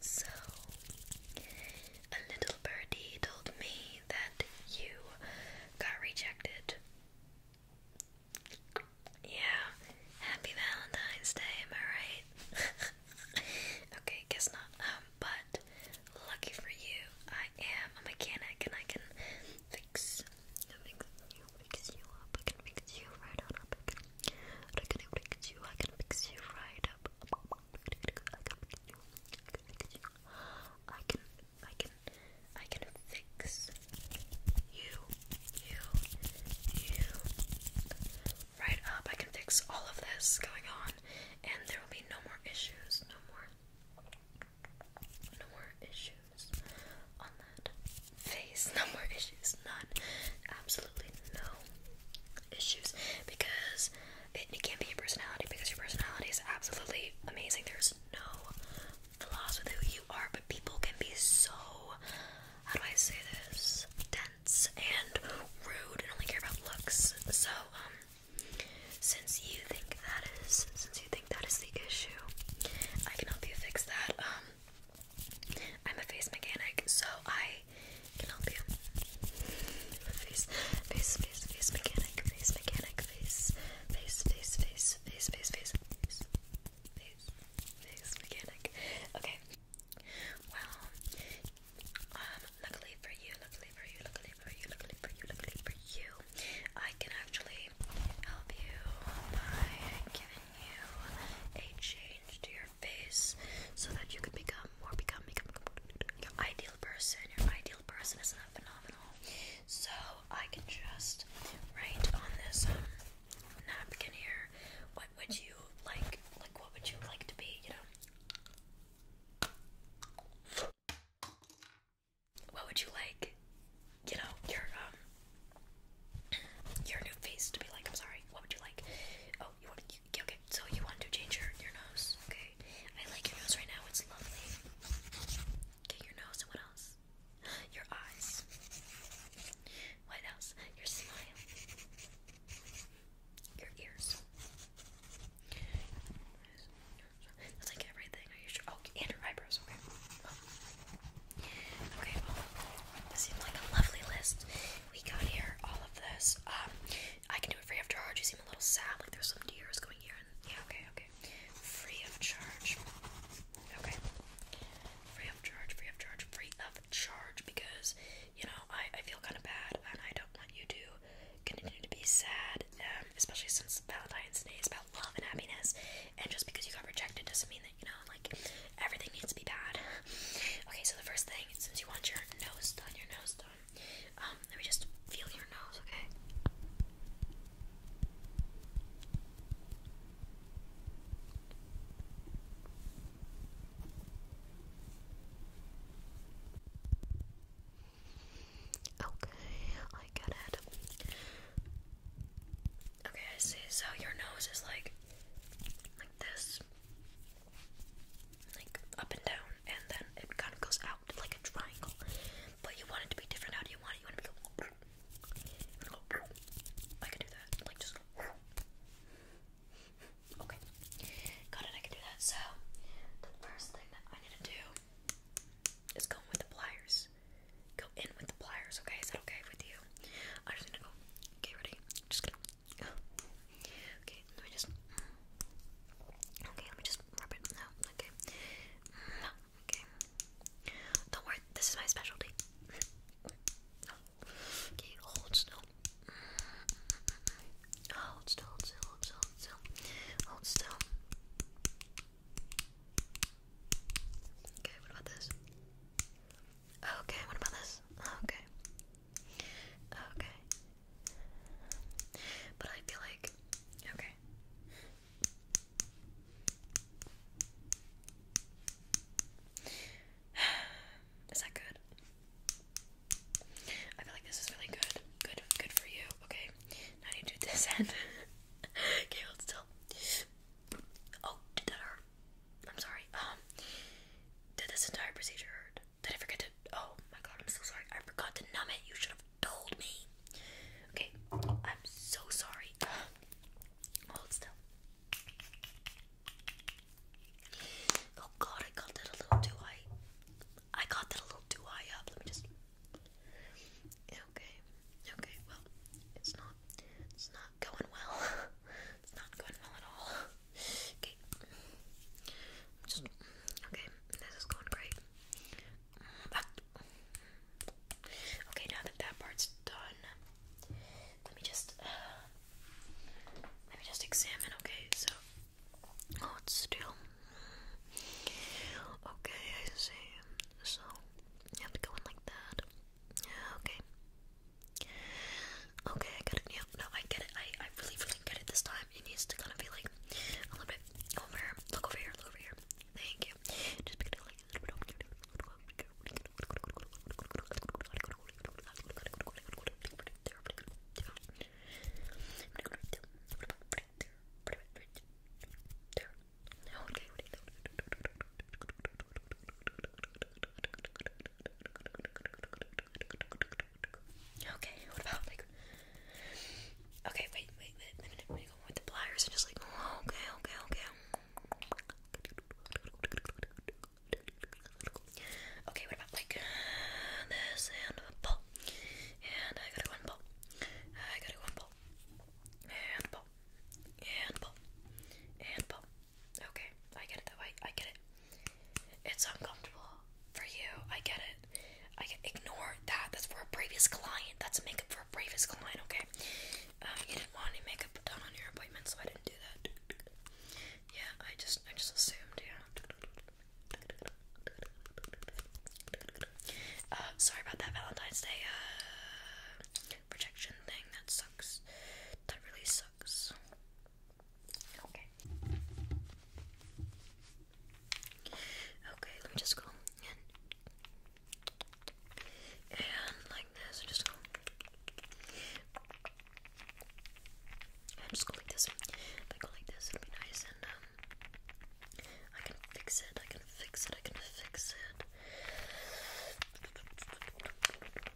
So, a little birdie told me that you got rejected. Yeah, happy Valentine's Day, am I right? okay, guess not. Um, but lucky for you, I am a mechanic and I can fix, you, fix you up. I can fix you right on up. I can fix you, I can fix you right up. I can fix I can, I can fix you, you, you. Right up, I can fix all of this going on, and there will be no more issues, no more, no more issues on that face, no more issues, none, absolutely no issues because it, can't be your personality because your personality is absolutely amazing. There's no flaws with who you are, but people can be so, how do I say this, dense and rude and only care about looks. So, um, since you think that is, since you think that is the issue, I can help you fix that. Um, I'm a face mechanic, so I can help you. Face, face, face, face mechanic, face mechanic, face, face, face, face, face, face, face, face, mechanic. Okay. Well, um, luckily for you, luckily for you, luckily for you, luckily for you, luckily for you, I can actually help you by giving you a change to your face so that you can become more become become your ideal person. Your ideal person is phenomenal? So I can just write on this um, napkin here. What would you like? Like what would you like to be? You know. What would you like? you know, your um your new face to be like, I'm sorry, what would you like? Oh, you want to, you, okay, so you want to change your, your nose, okay? I like your nose right now, it's lovely. Okay, your nose and what else? Your eyes. What else? Your smile. Your ears. That's like everything. Are you sure? Oh, and your eyebrows. Okay. Okay, seems like a lovely list. We got here all of this. Um, I can do it free of charge. You seem a little sad, like there's some tears going here. yeah, okay, okay. Free of charge. Okay. Free of charge, free of charge, free of charge because, you know, I, I feel kind of bad and I don't want you to continue to be sad, um, especially since Valentine's Day is about love and happiness. And just because you got rejected doesn't mean that you know, like everything needs to be bad. Okay, so the first thing, since you want your nose done, your nose done, um, let me just feel your nose, okay? Okay, I get it. Okay, I see. So your nose is like like this. Like up and down and then it kind of goes out like a triangle. But you want it to be different. How do you want it? You want it to go I can do that. Like just Okay. Got it, I can do that. So the first thing that I need to do is go with the pliers go in with the pliers, okay? Is that okay with you? I'm just gonna go. Okay, ready? Just going Okay, let me just. Okay, let me just rub it. No, okay. No, okay. Don't worry, this is my specialty. Okay, hold still. Hold still, still, still, still. Hold still. Okay, what about this? Okay, what about this? Okay. Okay. But I feel like okay. Is that good? I feel like this is really good. Good good for you. Okay. Now you do this end. okay, hold still. Oh, did that hurt? I'm sorry. Um, did this entire procedure hurt? Did I forget to? Oh my god, I'm so sorry. I forgot to numb it. You should have told me. Okay, I'm so sorry. Hold still. Oh god, I got that a little too high. I got that a little too high up. Let me just. Okay, okay. Well, it's not it's not going well. It's not going well at all. Okay. just okay. This is going great. okay, now that that part's done, let me just uh, let me just examine. Okay, so oh, it's still okay. I see. So you have like that. Okay. Okay, I get it. Yeah, no, I get it. I, I really, really get it this time. It needs to kind of be like a little bit over. Look over here. over here. Thank you. Just be like Okay, Okay, what about Okay, wait, wait, wait, let me, let me go with the pliers and just like okay, okay, okay. Okay, what about like this and a pull? And I gotta go and I gotta go and pull. And and pull, and pull. Okay, I get it that way. I get it. It's uncomfortable for you. I get it. I get, ignore that. That's for a previous client. That's makeup for a previous client. Okay. Um, you didn't want any makeup done on your appointment, so I didn't do that. Yeah, I just I just assumed. Yeah. Uh, sorry about that Valentine's Day uh, projection thing. That sucks. That really sucks. Okay. Okay, let me just go in. And like this, just go. And just go like this. I go like this, it'll be nice and um, I can fix it. I can can fix it, I can fix it.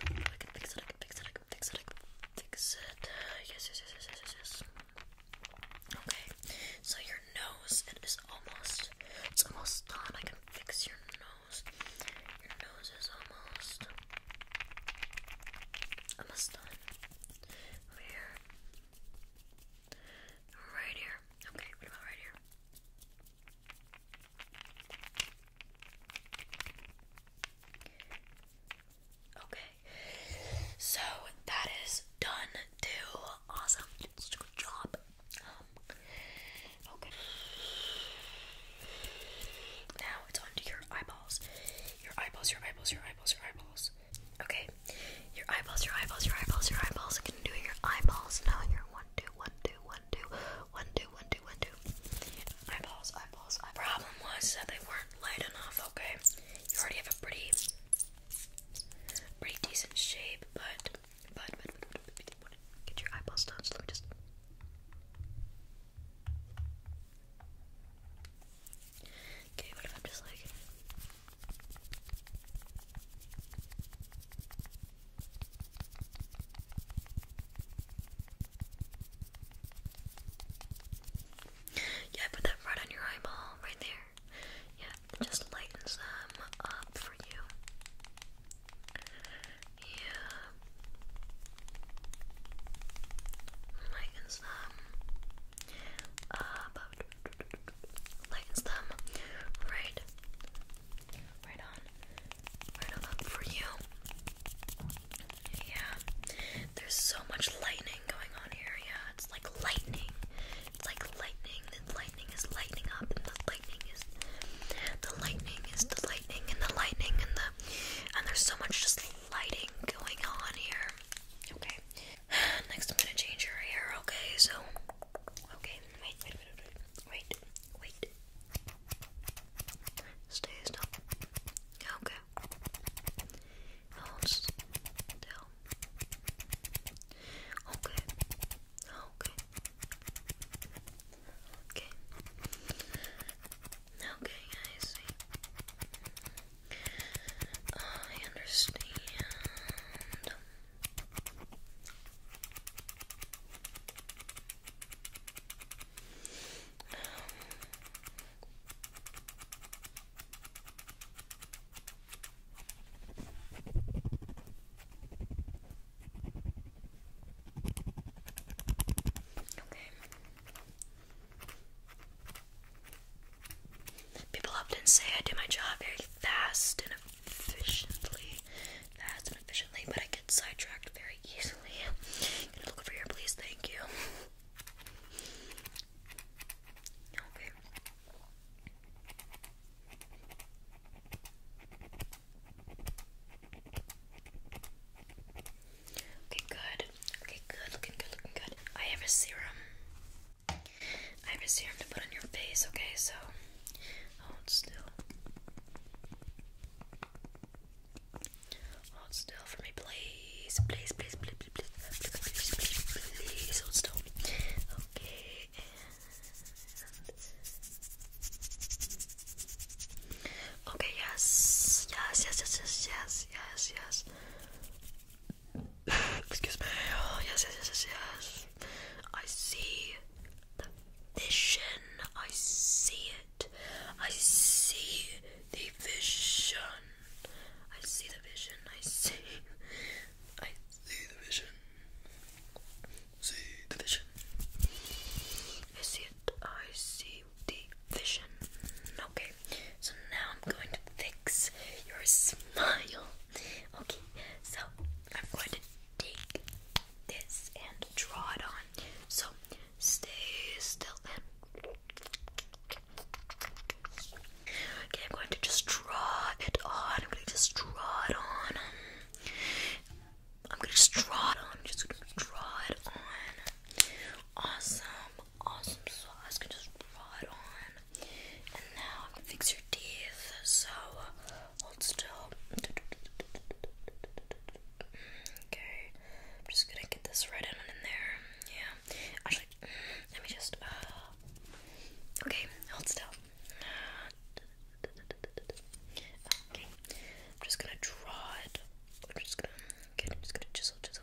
I can fix it, I can fix it, I can fix it, I can fix it. Uh, yes, yes, yes, yes, yes, yes. Okay, so your nose, it is almost, it's almost done. I can fix your nose. Your nose is almost, almost done. Over here. Right here. Okay, what about right here? Okay, so that is done too. Awesome, good job. Um, okay, now it's on your eyeballs. Your eyeballs, your eyeballs, your eyeballs, your eyeballs. Okay, your eyeballs, your eyeballs, your eyeballs, your eyeballs. I'm gonna do your eyeballs now. Your one, two, one, two, one, two, one, two, one, two, one, two. Eyeballs, eyeballs. The problem was that they weren't light enough. Okay, you already have a pretty, pretty decent shape, but, but, but, but, but, but, but get your eyeballs done. So let me just. Okay, what if I'm just like yeah, put that right on your eyeball, right there. Yeah, just lightens them up for you. Yeah. Lightens them up lines them right, right on, right up for you. Yeah, there's so much lightning going on here. Yeah, it's like lightning. It's like lightning. The lightning is lighting up, and the lightning is the lightning is the lightning and the lightning and the and there's so much just lighting going on here. Okay, Next, I'm gonna change your hair, okay? So, okay, wait, wait, wait, wait, wait, Stay still. Okay. Hold still. Okay. Okay. Okay. Okay, I I understand. People often say I do my job very fast and efficiently. That's an efficiently, but I get sidetracked very easily. look over here, please? Thank you. Okay. Okay, good. Okay, good. Looking good, looking good. I have a serum. I have a serum to put on your face, okay? So hold still. Hold still for me, please. Please, please, please, please, please, please, please, please, please, please hold still. Okay, and okay, yes, yes, yes, yes, yes, yes, yes, yes. Excuse me. Oh, yes, yes, yes, yes, yes. I see the vision. I see it. I see the vision. I see the vision. I see. I see the vision. See the vision. I see it. I see the vision. Okay, so now I'm going to fix your smile. Okay, so I'm going to take this and draw it on. So stay still then. Okay, I'm going to just draw it on. I'm going to just draw it on. I'm going to just draw it on. I'm just going to draw it on. Awesome, awesome sauce. So can just draw it on. And now I'm gonna fix your teeth. So hold still. Okay, I'm just gonna get this right in and in there. Yeah. Actually, let me just. Uh, okay, hold still. Okay, I'm just gonna draw it. I'm just gonna. Okay, I'm just gonna chisel, chisel.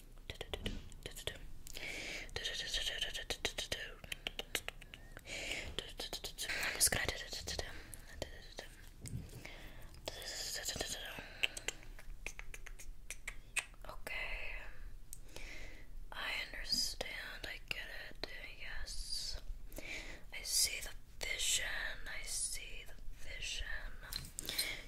i Okay. Um, I understand. I get it. Yes. I see the vision. I see the vision.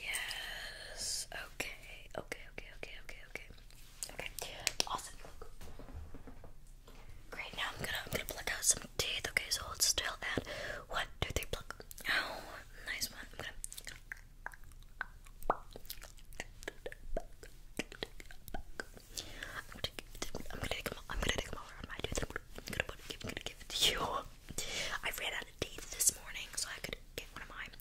Yes. Okay. Okay. Okay. Okay. Okay. Okay. Okay. Awesome. Great. Now I'm gonna I'm gonna pluck out some teeth. Okay. So hold still and one, two, three. Pluck. Oh, nice one. I'm gonna. I'm gonna take them. I'm gonna take them. I'm gonna take them over on my tooth. I'm gonna, I'm gonna, put, I'm gonna give it to you. I ran out of teeth this morning, so I could get one of mine.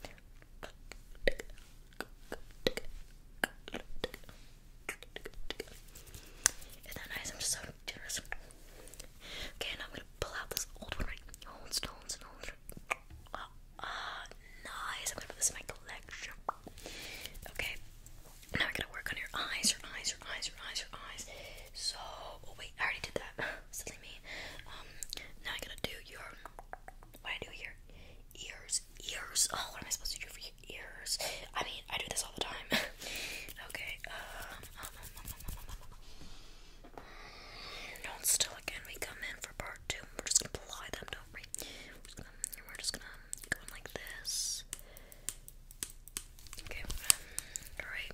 Isn't that nice? I'm just so generous. Okay, now I'm gonna pull out this old one right oh, old stones old uh, ah, uh nice. I'm gonna put this in my collection. Okay. Now we're gonna work on your eyes, your eyes, your eyes, your eyes, your eyes. So oh wait, I already did that silly me. Um, now I gotta do your. What I do here? Ears, ears. Oh, what am I supposed to do for your ears? I mean, I do this all the time. okay. Don't still again. We come in for part two. We're just gonna apply them, don't we? We're just gonna, go like this. Okay. Um, all right.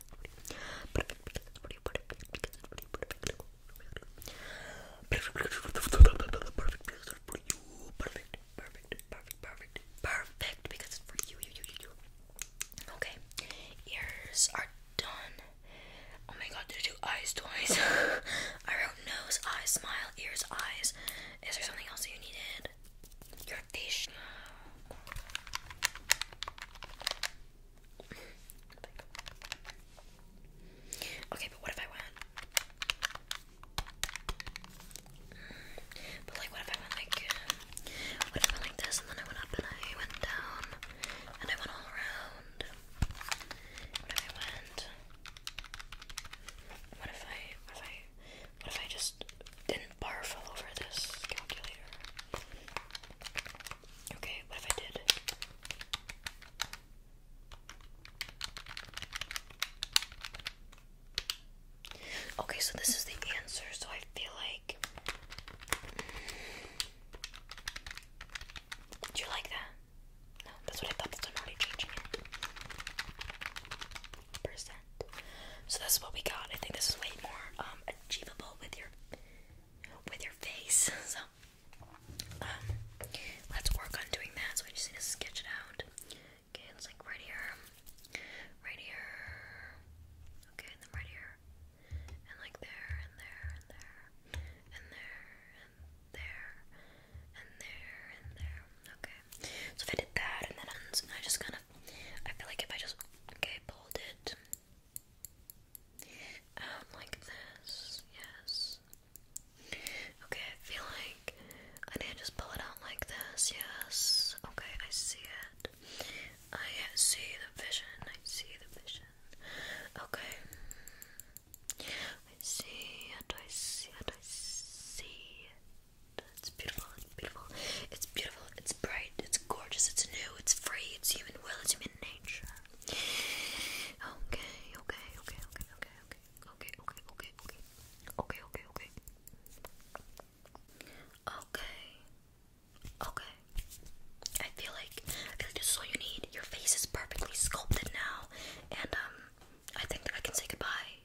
perfect, perfect, perfect, perfect, because it's for you, you, you, you, you. Okay, ears are done. Oh my god, did I do eyes twice? I wrote nose, eyes, smile, ears, eyes. Is there something else that you needed? good. Your fish. Okay, but what if I want? But like, what if I went like, what if I went like this, and then I went up and I went down, and I went all around? What I went? What if I? What if I? What if I just didn't barf all over this calculator? Okay, what if I did? Okay, so this is the answer, so I feel like. Mm, do you like that? No, that's what I thought. That's already changing it. Percent. So this is what we got. I think this is way more um, achievable with your with your face. So um, let's work on doing that. So we just need to sketch it out. Okay, it's like right here, right here. Okay, and right here, and like there, and there, and there, and there, and there, and there, and there. Okay, so if I did that, and then I just kind of I feel like if I just okay pulled it out um, like this, yes. Okay, I feel like I need just pull it out like this, yes. Okay, I see it. I see the vision. I see the vision. Okay. I see it. I see it. I see it's beautiful, beautiful. It's beautiful, it's bright, it's gorgeous, it's new, it's free, it's human will, it's human nature. Okay, okay, okay, okay, okay, okay, okay, okay, okay, okay, okay, okay, okay. Okay. Okay. I feel like I feel like this is all you need. Your face is perfectly sculpted now. And um I think that I can say goodbye.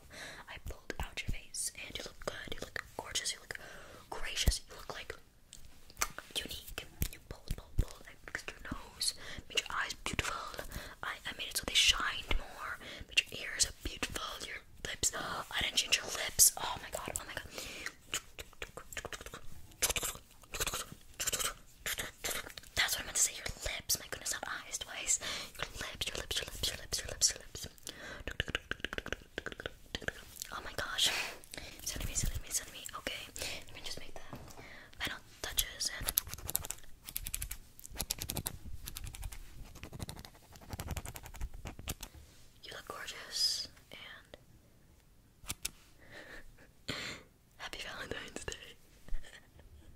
I pulled out your face, and you look good. You look gorgeous. You look gracious. You look like unique. You pulled, pulled, pulled. fixed your nose. Made your eyes beautiful. I, I made it so they shined more. Made your ears beautiful. Your lips. I didn't change your lips. Oh my god. Oh my god that's what I am going to say. Your lips, my goodness, not eyes twice. Your lips, your lips, your lips, your lips, your lips, your lips. Oh my gosh. Silly me, silly me, silly me. Okay, let me just make the final touches and. You look gorgeous and happy Valentine's Day.